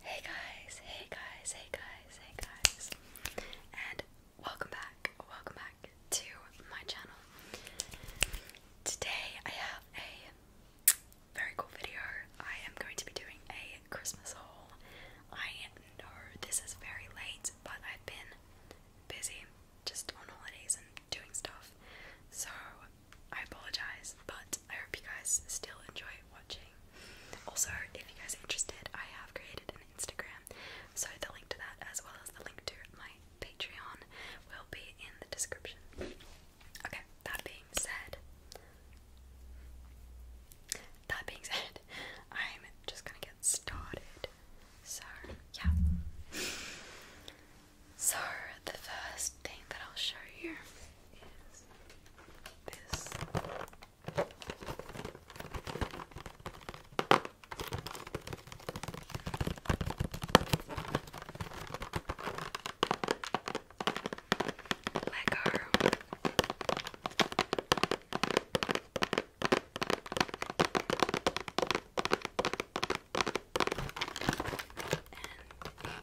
Hey guys, hey guys, hey guys, hey guys, and welcome back, welcome back to my channel. Today I have a very cool video. I am going to be doing a Christmas haul. I know this is very late, but I've been busy just on holidays and doing stuff, so I apologize, but I hope you guys still enjoy watching. Also, if you guys are interested, I have created an Instagram, so the link to that, as well as the link to my Patreon, will be in the description. Okay, that being said, that being said, I'm just gonna get started. So, yeah. So, the first thing that I'll show you is this. Lego. And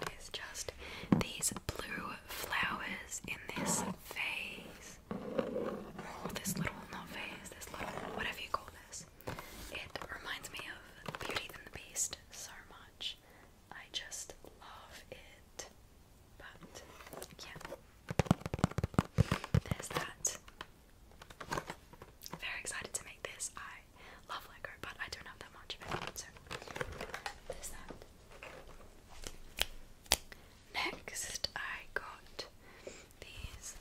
it is just these blue flowers in this vase. Oh, this little, not vase, this little, whatever you call this. It reminds me of Beauty and the Beast so much. I just love it. But, yeah. There's that. Very excited to make this. I love Lego, but I don't have that much of it. So there's Next, I got these.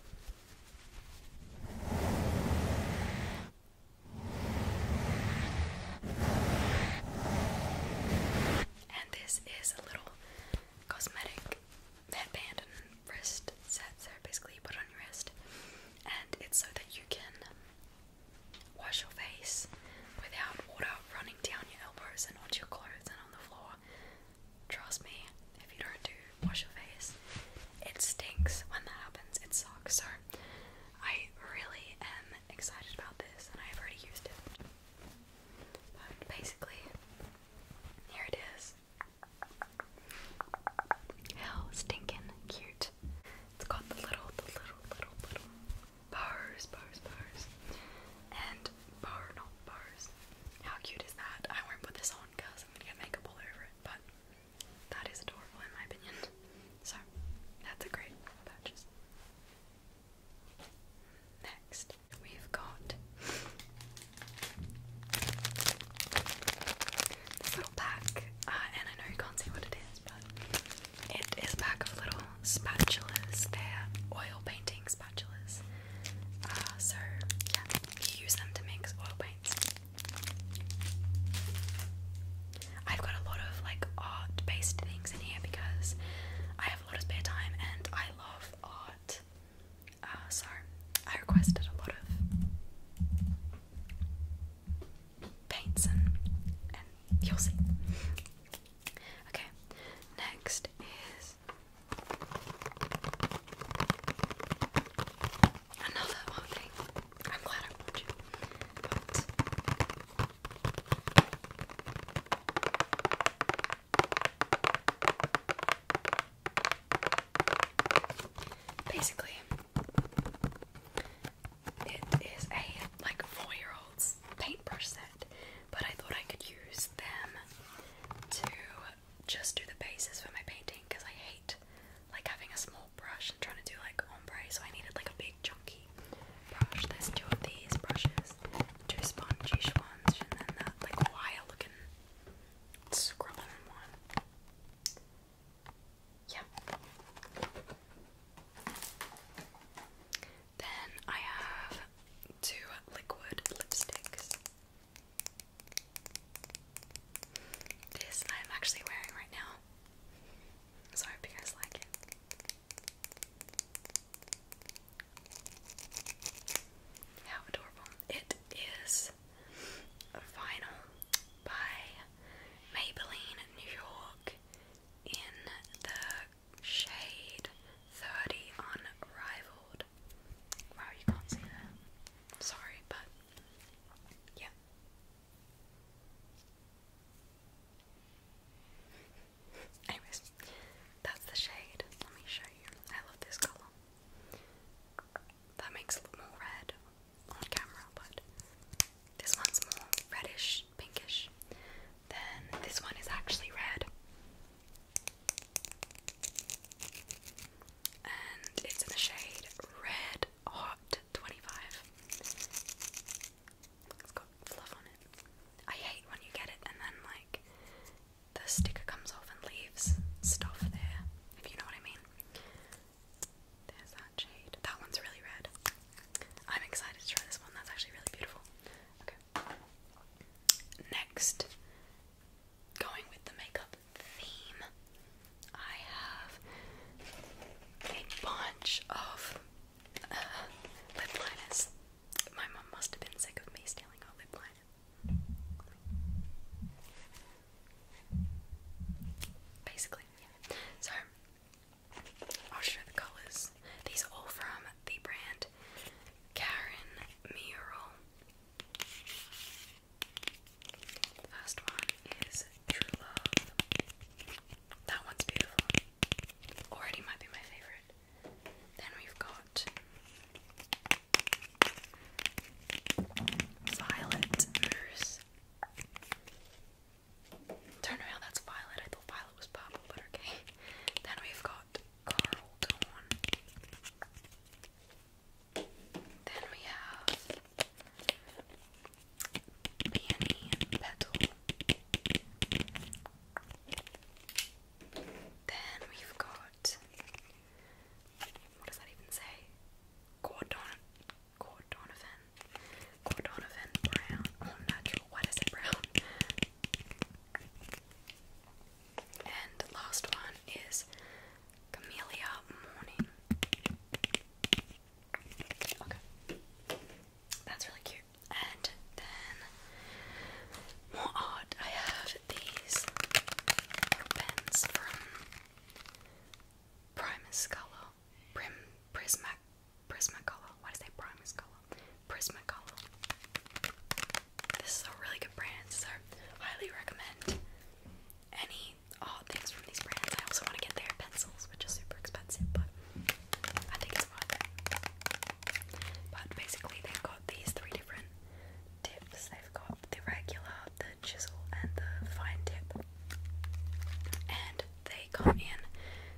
And this is a little cosmetic headband and wrist set. So basically, you put on your wrist, and it's so that you can Wash your face without water running down your elbows and onto your clothes and on the floor. Trust me, if you don't do wash your face, it stinks when that happens. It sucks. So I really am excited about this and I've already used it. But basically, here it is. How stinking cute it. It's got the little, the little, little, little bars, bars, bars, and bar, not bars. How cute is that? I won't put this on because I'm gonna get makeup all over it, but that is adorable in my opinion. So that's a great purchase. Next, we've got this little pack, uh, and I know you can't see what it is, but it is a pack of little spatulas. they oil painting spatulas. Uh, so yeah, you use them to mix oil paints. I've got a lot of like art-based things in here because I have a lot of spare time and I love art. Uh, so I requested a lot of paints and, you'll see. Okay, next is another one I'm glad I bought you. Basically, it is a like four-year-old's paintbrush set, but I thought I could use them to just do the bases for my painting because I hate like having a small brush and trying to do like ombre, so I needed like a big chunky brush. There's two of these brushes, two spongy ones, and then that like wire looking scrubbing one. Yeah. Then I have two liquid lipsticks. This I'm actually wearing right now. So I you guys like it. How adorable. It is vinyl by Maybelline New York in the shade 30 Unrivaled. Wow, you can't see that. Sorry, but yeah. Anyways, that's the shade. Let me show you. I love this colour. That makes it look more red on camera, but this one's more reddish, pinkish. Then this one is actually red. And it's in the shade Red Hot 25. It's got fluff on it. I hate when you get it and then, like, the sticker comes off and leaves stuff there, if you know what I mean. There's that shade. That one's really red. I'm excited to try this one. That's actually really beautiful. Okay. Next, going with the makeup theme, I have a bunch of uh, lip liners. My mum must have been sick of me stealing her lip liner. Basically, so I'll show the colours. These are all from the brand Karen Mural. first one is True Love. That one's beautiful. Already might be my favourite. Then we've got Violet Moose. Turn around, that's Violet. I thought Violet was purple, but okay. Then we've got Carl Then we have Peony Petal. Then we've got what does that even say? Gordon Cordonovan, Cordonovan brown, all oh, natural. Why it brown? And the last one is Camellia Morning. Okay, that's really cute. And then more art. I have these pens from Primus Color. Prisma, Prisma color. Why did I say Prismacolor? Prismacolor. This is a really good brand, so highly recommend any odd things from these brands. I also want to get their pencils, which are super expensive, but I think it's worth But basically, they've got these three different tips. They've got the regular, the chisel and the fine tip. And they come in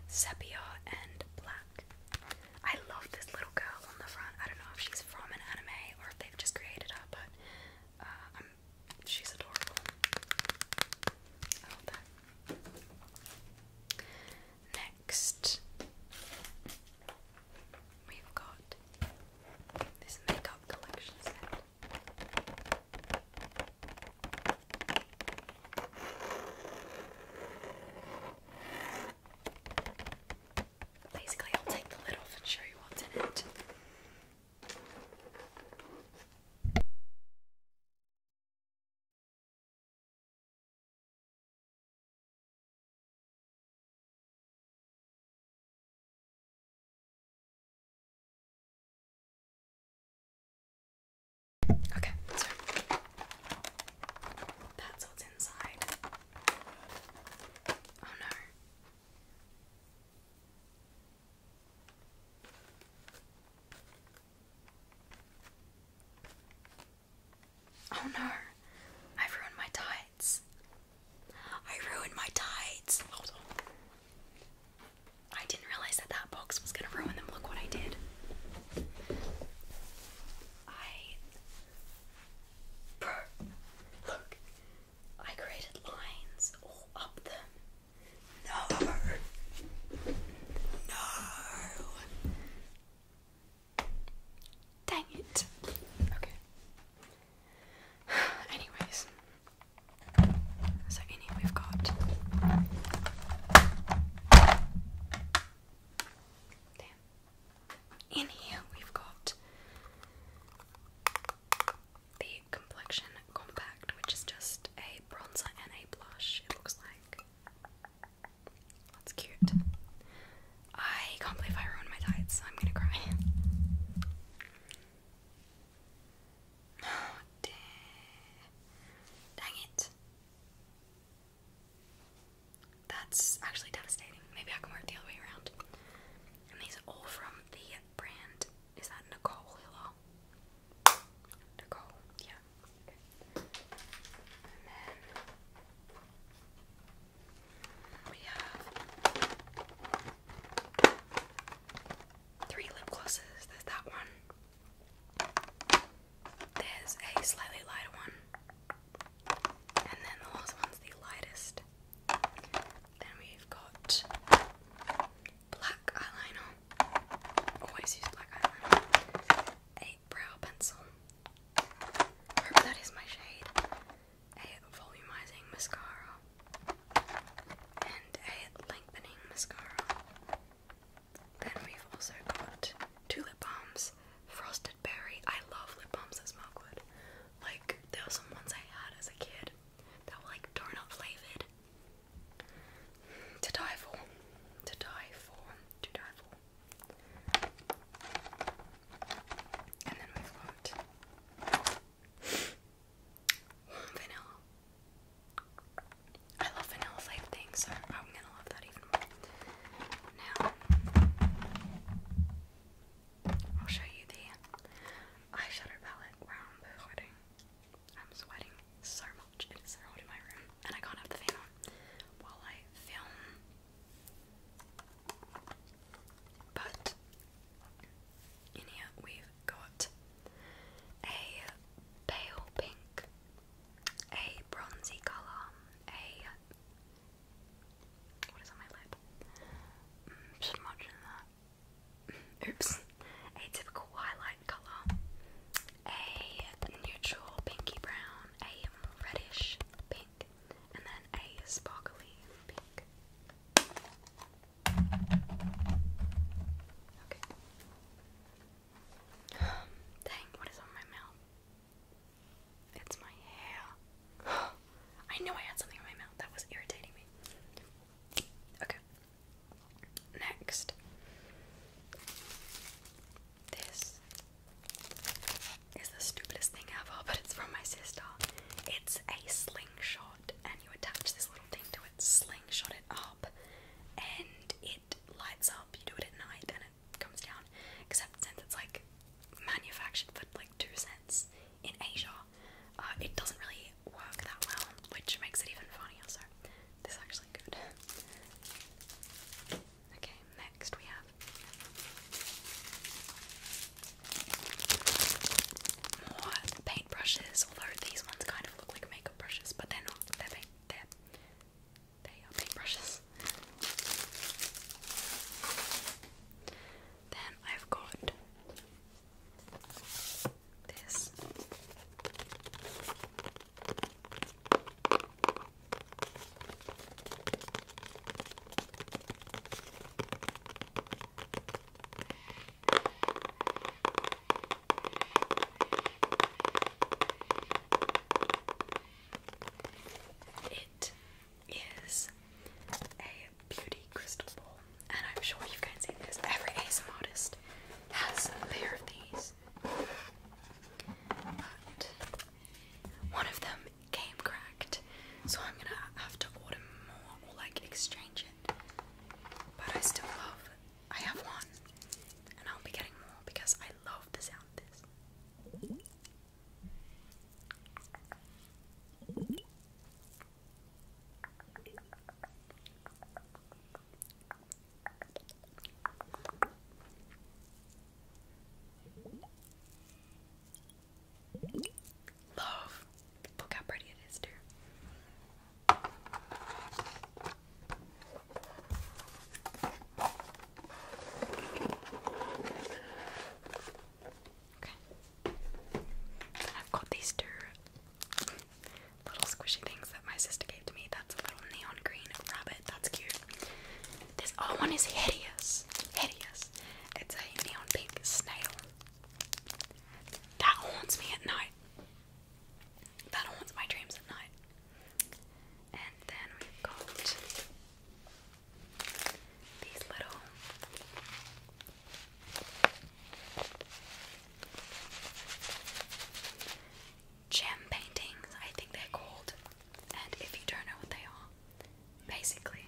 sepia and black. I love this little girl on the front. I don't know if she's from an anime or if they've just created her, but uh, she's adorable. I love that. Next, we've got this makeup collection set. Basically, I'll take the lid off and show you what's in it. Okay, that's what's inside. Oh no. Oh no, I've ruined my tights. I ruined my tides. I didn't realize that that box was gonna ruin them. Look what I did. I. Bro, look. I created lines all up them. No. No. Dang it. Okay. Anyways, so in here we've got there. In here we've got the complexion compact, which is just a bronzer and a blush. It looks like that's cute. I can't believe I ruined my tights. I'm gonna cry. dang. it. That's actually devastating. Maybe I can work the other way around. And these are all from the brand. Is that Nicole Hiller? Nicole, yeah three lip glosses. There's that one. There's a slightly lighter one. And then the one's the lightest. Then we've got black eyeliner. Always use black eyeliner. A brow pencil. hope that is my shade a volumizing mascara, and a lengthening mascara. Then we've also got two lip balms, Frosted Berry. I love lip balms as much good. Like, there were some ones I had as a kid that were like donut flavored. To die for. To die for. To die for. And then we've got I love vanilla flavored things, I'm gonna love that even more. Now, I'll show you the eyeshadow palette where I'm sweating. I'm sweating so much. It is so hot in my room, and I can't have the fan on while I film. But in here we've got a pale pink, a bronzy colour, a what is on my lip? Mm, smudge that. Oops. A typical highlight colour, a neutral pinky brown, a reddish pink, and then a sparkly pink. Okay. Dang, what is on my mouth? It's my hair. I knew I had something in my mouth. That was irritating me. Okay. Next. This is the stupidest thing ever, but it's from my sister. It's a slingshot and you attach this little thing to it, slingshot it up, and it lights up. You do it at night and it comes down. Except since it's like manufactured for like two cents in Asia, uh, it doesn't really work that well, which makes it even funnier. So, this is actually good. Okay, next we have more paint brushes, although these ones kind of look like makeup brushes, but they're not. They're they are paint brushes. Then I've got this. It is a beauty crystal bowl, and I'm sure you guys see this. Every ASMR artist has a pair of these, but one of them came cracked, so I'm gonna have to order more or like exchange it. But I still love. I have one, and I'll be getting more because I love the sound of this. Love. Look how pretty it is, dear. Okay. I've got these two little squishy things that my sister gave to me. That's a little neon green rabbit. That's cute. This other one is hideous. Hideous. It's a neon pink snail. That haunts me at night. That haunts my dreams at night. And then we've got these little gem paintings, I think they're called. And if you don't know what they are, basically,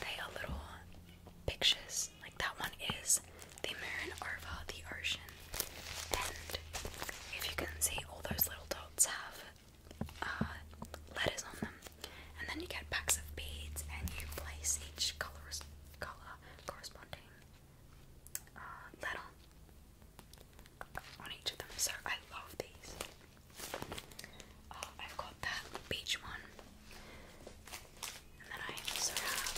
they are little pictures. Like that one is the moon over the ocean. And if you can see, all those little dots have uh, letters on them. And then you get packs of beads and you place each color, color corresponding uh, letter on each of them. So I love these. Oh, I've got that beach one. And then I also have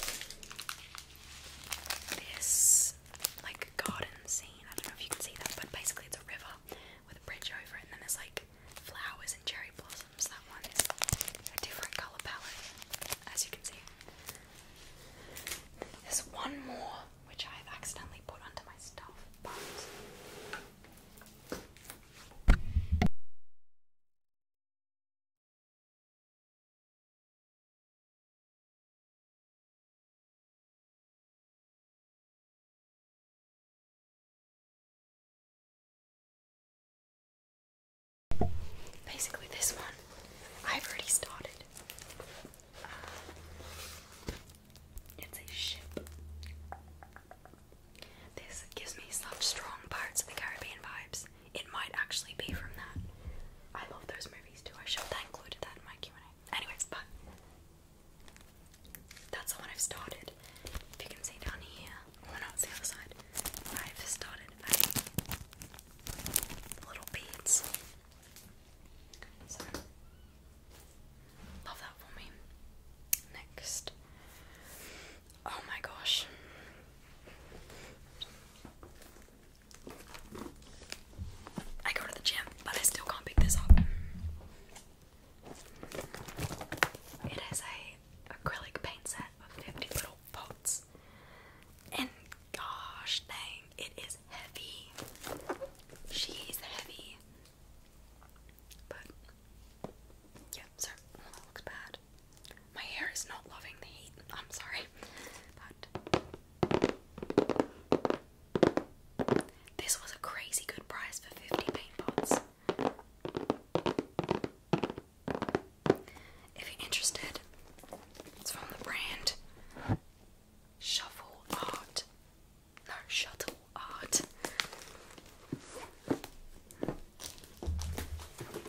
this like garden scene. I don't know if you can see that, but basically it's a river with a bridge over it, and then there's like flowers and cherry blossoms. That one is a different colour palette, as you can see. There's one more which i accidentally put onto my stuff, but Basically, this one I've already started. It's a ship. This gives me such strong parts of the Caribbean vibes. It might actually be from that. I love those movies too. I should have included that in my Q&A. Anyways, but that's the one I've started. If you can see down here, or not, the other side. I've started little beads. So Love that for me. Next. Oh my gosh. I go to the gym, but I still can't pick this up. It is a acrylic paint set of 50 little pots. And gosh dang, it is heavy. She is heavy. But yeah, so that looks bad. My hair is not loving the heat. I'm sorry, but this was a crazy good price for 50 paint pots. If you're interested, it's from the brand Shuffle Art no shut up.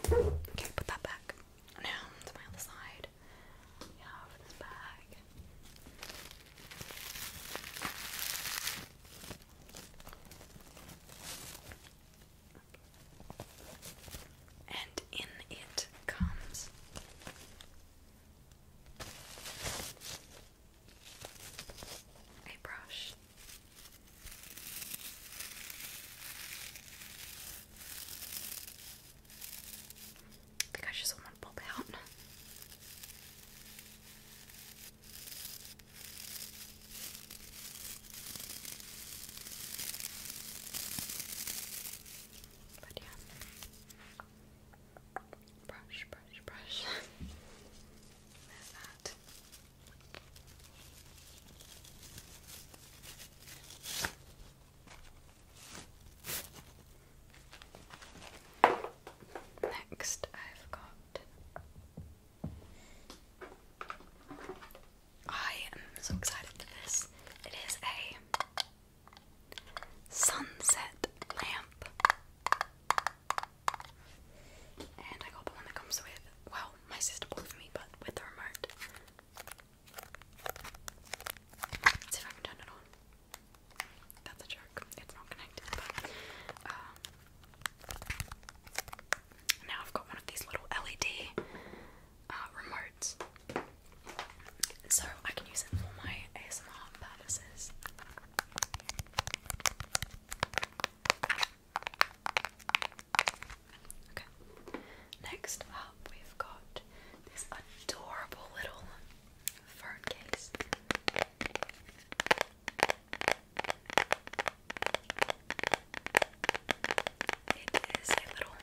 Okay, put that back. Now to my other side. We have this bag. And in it comes a brush. I think just want to pop But yeah. Brush, brush, brush. There's that. Next, I've got. I am so excited for this. It is a Sunset lamp. And I got the one that comes with, well, my sister bought for me, but with the remote. Let's see if I can turn it on. That's a joke. It's not connected, um, now I've got one of these little LED uh, remotes, so I can use it for my ASMR purposes. Okay. Next up, we've got this adorable little phone case. It is a little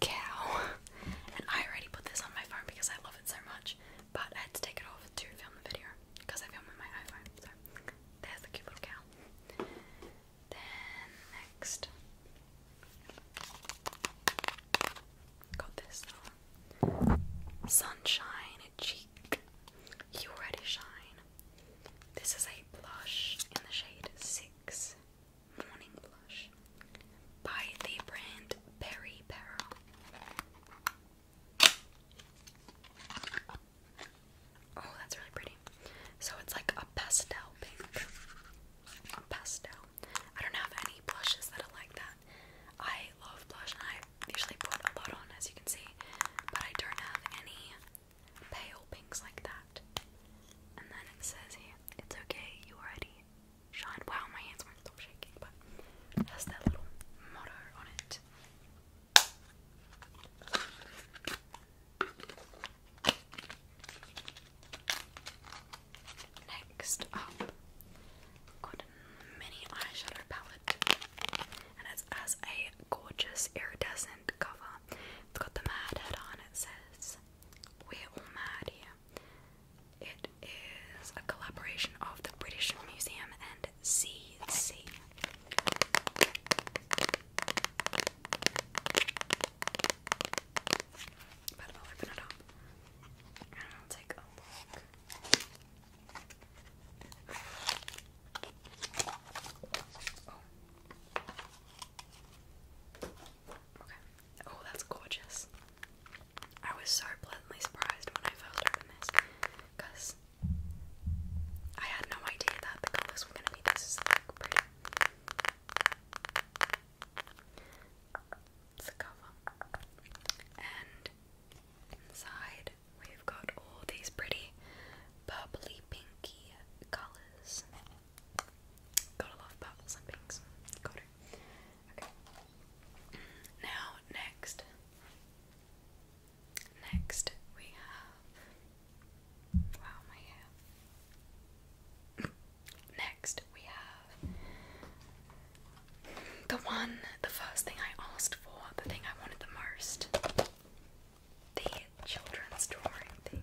cow. And I already put this on my phone because I love it so much. But I had to take it off to film the video because I film with my iPhone. So there's the cute little cow. Then next, got this Sunshine Cheek. You already shine. This is a blush in the shade six. Morning Blush by the brand Berry Barrel. Oh, that's really pretty. So it's like a pastel pink. A pastel. I don't have any blushes that are like that. I love blush and I usually put a lot on, as you can see, but I don't have any pale pinks like that. And then it says here, it's okay, you already shine. Wow, my hands were not stop shaking, but it has little motto on it. Next up, got mini eyeshadow palette, and it's as a gorgeous iridescent cover. It's got the mad head on. It says, "We're all mad here." It is a collaboration of the British Museum and CC. But I'll open it up and take a look. Oh. Oh, that's gorgeous. I was so pleasantly surprised when I first opened this because I had no idea that the colours were going to be this like, pretty. It's the cover. And inside we've got all these pretty purpley pinky colours. Gotta love purples and Got it. Okay. Now, next. Next, we have. Wow, my hair. Next, we have. The one, the first thing I asked for, the thing I wanted the most. The children's drawing thing.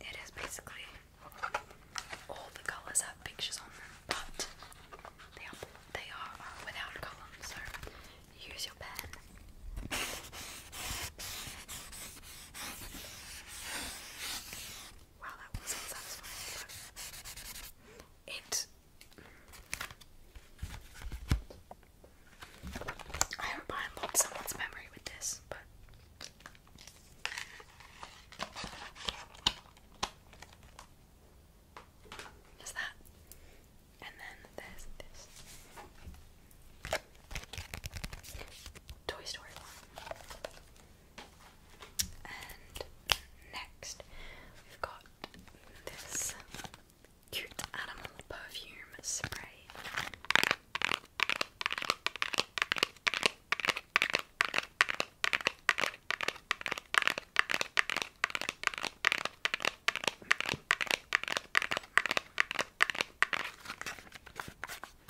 it is basically all the colours have pictures on them, but they they are uh, without columns, use your pen. Wow, that was satisfying. it. I hope I unlocked someone's memory with this, but there's that. And then there's this Toy Story one. And next, we've got this cute animal perfume spray.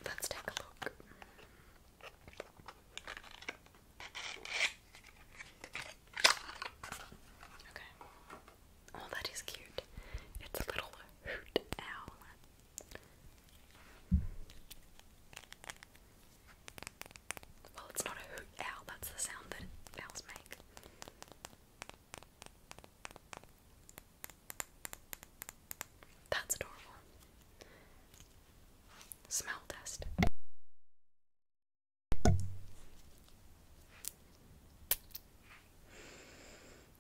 Let's take a look. Okay. Oh, that is cute. It's a little hoot owl. Well, it's not a hoot owl, that's the sound that owls make. That's adorable. Smell test.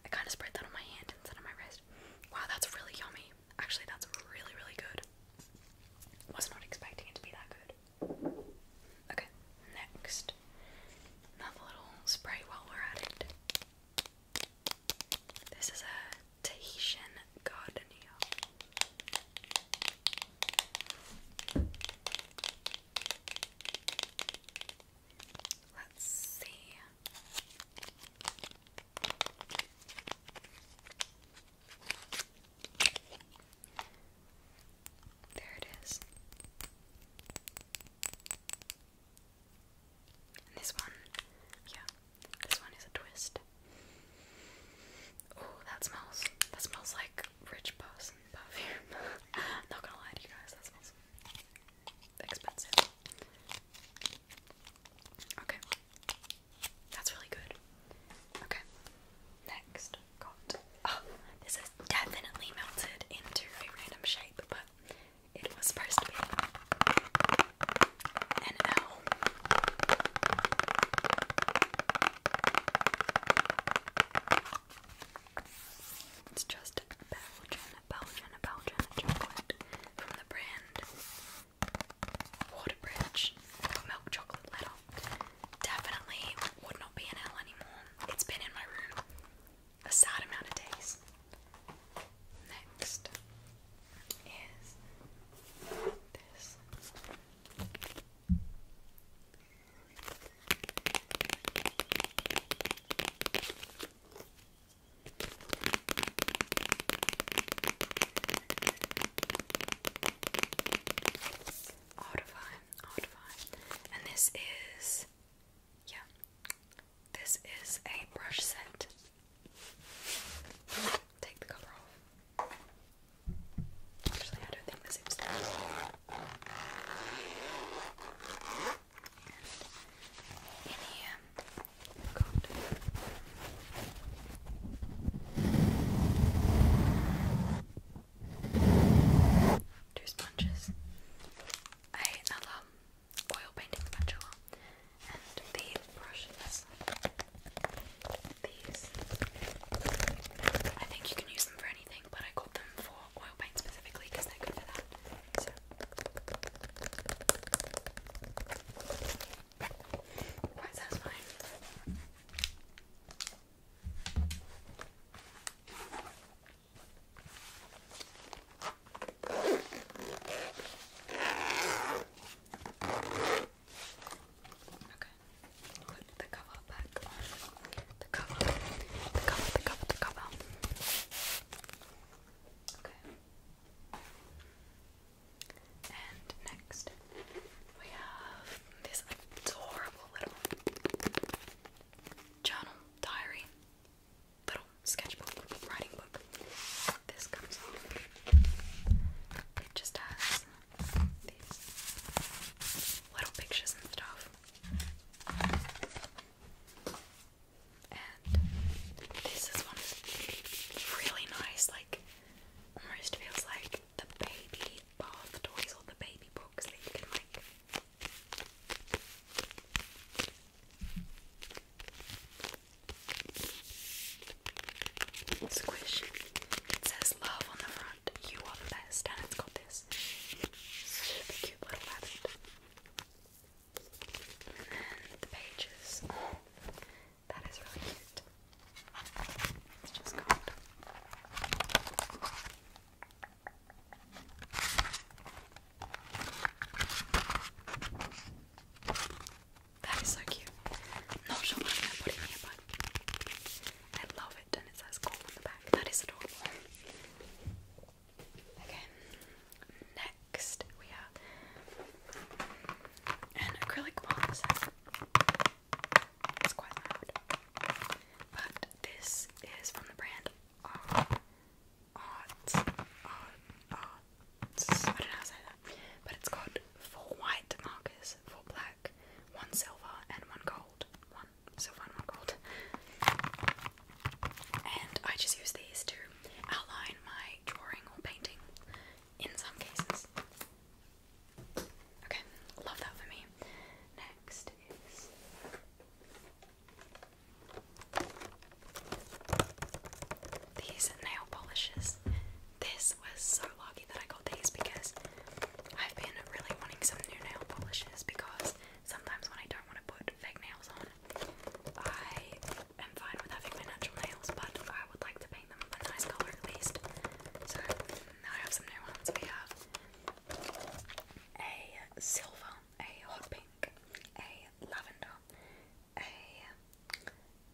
I kind of spread that on my hand instead of my wrist. Wow, that's really yummy. Actually, that's really, really good. Was not expecting it to be that good. Okay, next. Another little spray while we're at it. This is a Tahitian gardenia. Let's see. There it is. this one, yeah, this one is a twist. Oh, that smells. That smells like rich perfume. Not gonna lie to you guys, that smells expensive. Okay. That's really good. Okay. Next, got. Oh, this is definitely melted into a random shape, but it was supposed to be an L. It's just Belgian, Belgian, Belgian chocolate from the brand Waterbridge Milk Chocolate Letter. Definitely would not be in L anymore. It's been in my room a sad amount of days. Next is this. Audify, Audify. And this is, yeah, this is a brush set. Take the cover off. Actually, I don't think this is. And two sponges. I love oil painting sponge And the brushes. These. I think you can use them for anything, but I got them for oil paint specifically because they're good for that. Quite satisfying. Okay. Put the cover back The cover. The cover, the cover, the cover. Okay. And next, we have this adorable little journal, diary, little sketchbook, writing book. This comes off. just has these little pictures and stuff this is one of the really nice, like almost feels like the baby bath toys or the baby books that you can like squish. It says love on the front, you are the best, and it's got this super cute little rabbit the pages. that is really cute. It's just gold. That is so cute. Not sure why I'm going it here, I love it, and it says gold on the back. That is adorable. Okay, next we have an acrylic palm It's quite loud. But this is from the brand Art. Art. I don't know how to say that. But it's got four white markers, four black, one silver, and one gold so far not gold. And I just use these to outline my drawing or painting in some cases. Okay, love that for me. Next is these nail polishes. This was so lucky that I got these because I've been really wanting some new nail polishes because sometimes when I don't want to put fake nails on, I am fine with having my natural nails, but I would like to paint them a nice color at least. So now I have some new ones. We have a silver, a hot pink, a lavender, a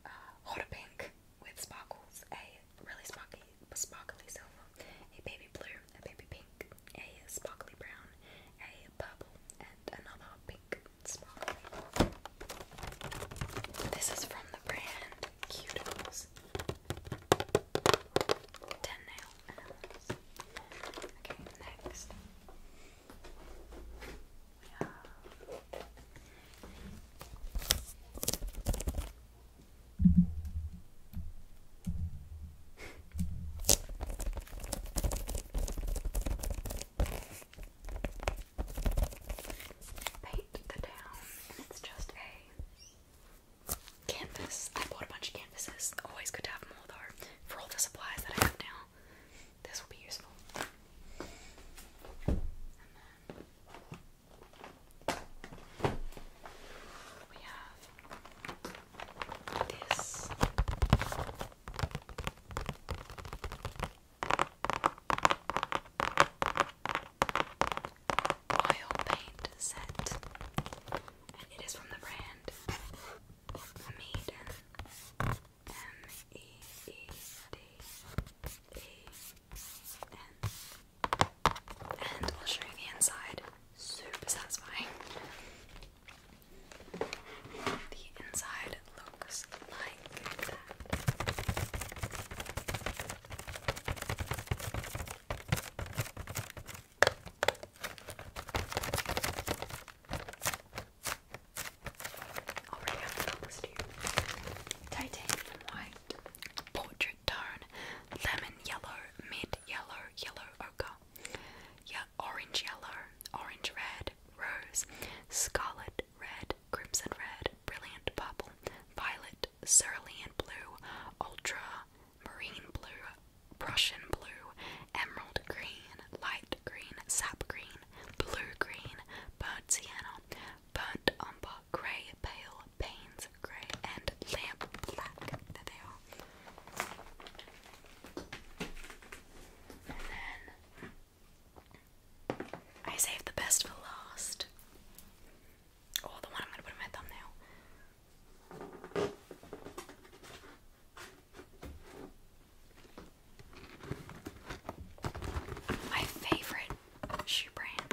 uh, pink with sparkles, a really sparkly, sparkly silver, a baby blue, a baby pink, a is sparkly brown, a purple, and another pink sparkly. This is from the brand Cuticles. 10 nail Okay, next. We Paint the town, and it's just a canvas. I bought a bunch of canvases. Always good to have more though for all the supplies that I have now. This will be useful. we have Oil paint set, and it is from the brand Maiden. M E E D E N. And I'll show you the inside super satisfying. The inside looks like Titanium white, portrait tone, lemon yellow, mid yellow, yellow ochre, yeah, orange yellow, orange red, rose, scarlet red, crimson red, brilliant purple, violet, cerulean blue, ultra, marine blue, Prussian blue, emerald green, light green, sap green, blue green, burnt sienna, burnt umber, grey, pale, panes, grey, and lamp black. There they are. And then I saved the best for last. oh, the one I'm going to put in my thumbnail. My favorite shoe brand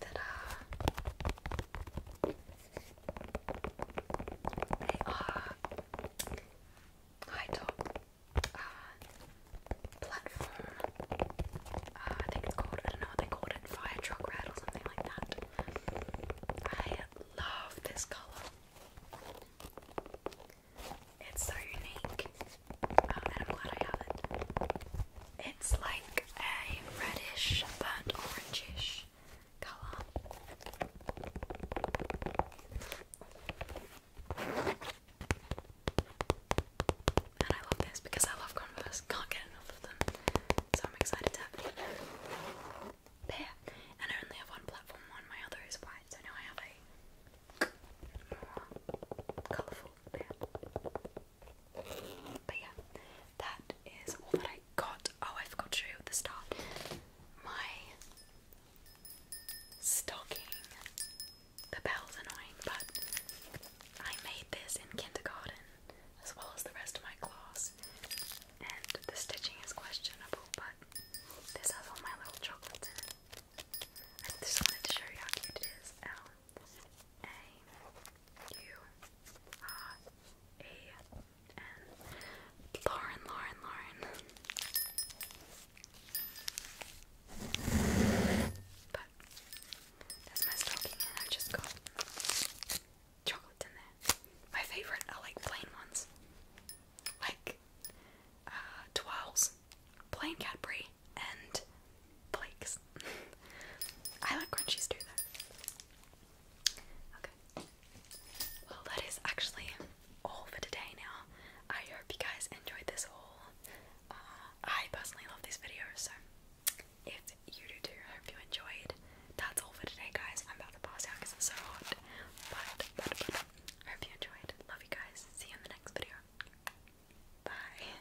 Ta-da! top uh, platform. Uh, uh, I think it's called, I don't know what they called it, fire truck red or something like that. I love this colour. It's so unique, um, I'm glad I have it. It's like a reddish but orangish colour. And I love this because I love Converse. Can't get enough of them. So I'm excited to pair. And I only have one platform one, my other is white, so now I have a colourful pair. But yeah, that is all that I got. Oh, I forgot to show you at the start. My stocking. The bell's annoying, but I made this in kindergarten as well as the rest of my class. And the stitching is questionable, but this has all my little chocolates in it. I just wanted to show you how cute it is. Ow. A U R E N. Lauren, Lauren, But that's my stocking, and I've just got chocolate in there. My favourite are like plain ones, like uh, plain Cadbury, and flakes. I like crunchies too, Okay. Well, that is actually all for today now. I hope you guys enjoyed this haul. Uh, I personally love these videos, so if you do too, I hope you enjoyed. That's all for today, guys. I'm about to pass out because it's so hot. But, but, I hope you enjoyed. Love you guys. See you in the next video. Bye.